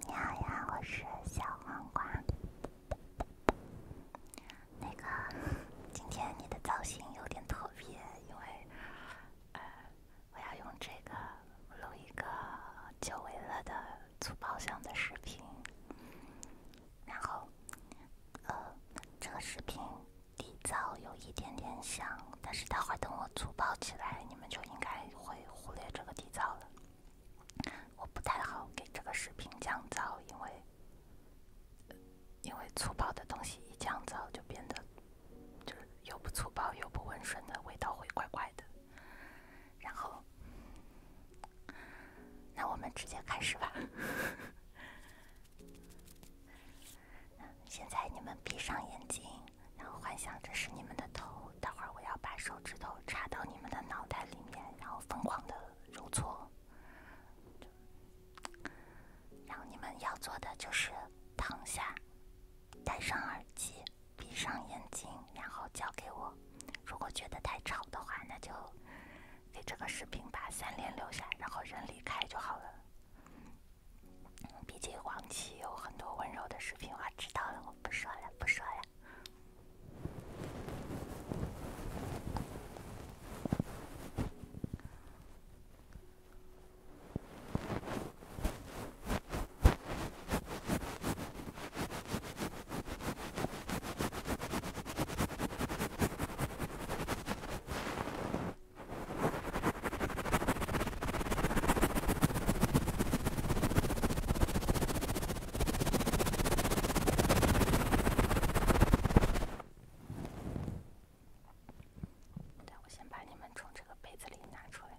你好呀，我是小黄瓜。那个，今天你的造型有点特别，因为呃，我要用这个录一个九尾乐的粗爆箱的视频，然后呃，这个视频底噪有一点点响。但是待会儿等我粗暴起来，你们就应该会忽略这个底噪了。我不太好给这个视频降噪，因为因为粗暴的东西一降噪就变得就是又不粗暴又不温顺的味道会怪怪的。然后，那我们直接开始吧。现在你们闭上眼睛。然后幻想这是你们的头，待会儿我要把手指头插到你们的脑袋里面，然后疯狂的揉搓。然后你们要做的就是躺下，戴上耳机，闭上眼睛，然后交给我。如果觉得太吵的话，那就给这个视频把三连留下，然后人离开就好了。毕竟黄芪有很多温柔的视频，我知道了，我不说了，不说了。我先把你们从这个杯子里拿出来。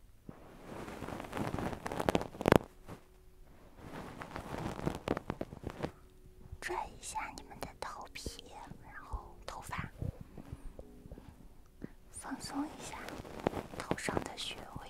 拽一下你们的头皮，然后头发，放松一下头上的穴位。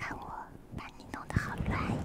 看我把你弄得好乱呀！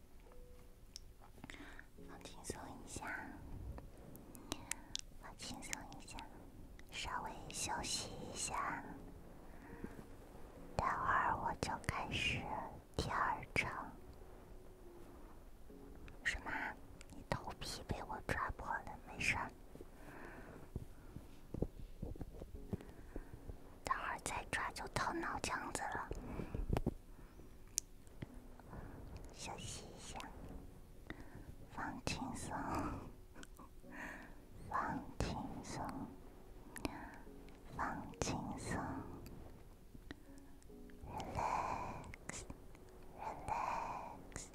放轻松一下，放轻松一下，稍微休息一下。待会儿我就开始第二章。什么？你头皮被我抓破了？没事待会儿再抓就到脑浆子了。休息一下，放轻松，放轻松，放轻松，relax，relax，relax。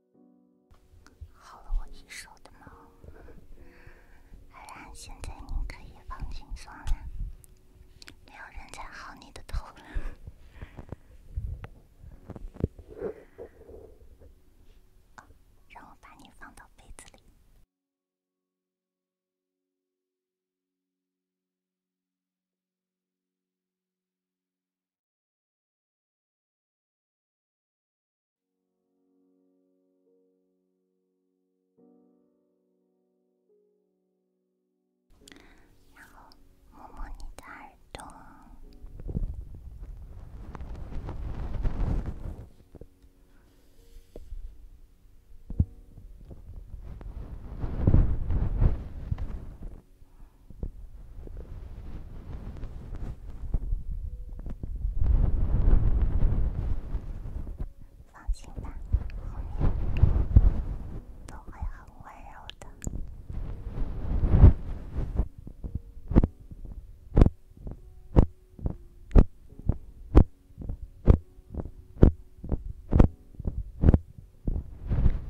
好了，我一手的毛。好了，现在您可以放轻松了，没有人再薅你的头了。让我把你放到被子里。然后摸摸你的耳朵。放心吧，后面都会很温柔的。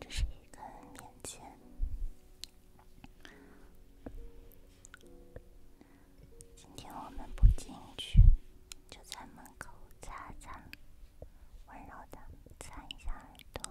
这是一根棉签，今天我们不进去，就在门口擦擦，温柔的擦一下耳朵。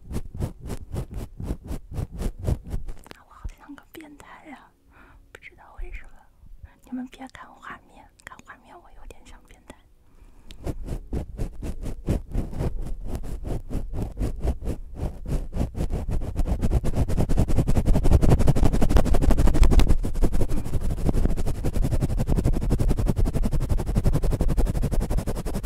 我好像个变态呀，不知道为什么。你们别看画面，看画面我有点像变态。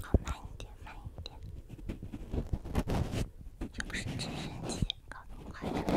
好慢一点，慢一点，这是直升机，搞快点。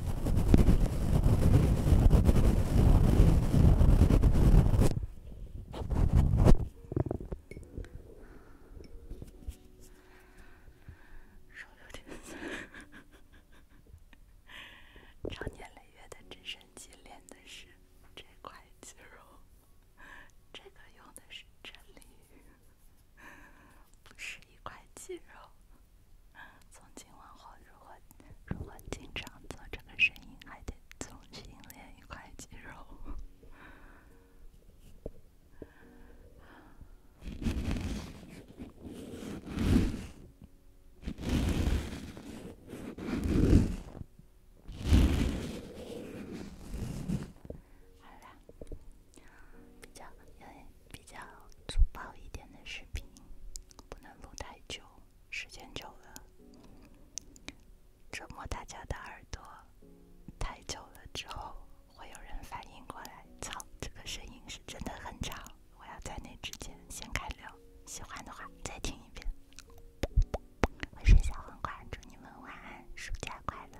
手有点酸。张念雷的直升机连的是这块肌肉，这个用的是真鲤是一块肌肉。从今往后，如果如经常做这个声音，还得重新练一块肌肉。好比较粗暴一点的视频。不能录太久，时间久了折磨大家的耳朵太久了之后，会有人反应过来，操，这个声音是真的很吵，我要在那之前先开聊。喜欢的话再听一遍。我是小黄瓜，祝你们晚安，暑假快乐。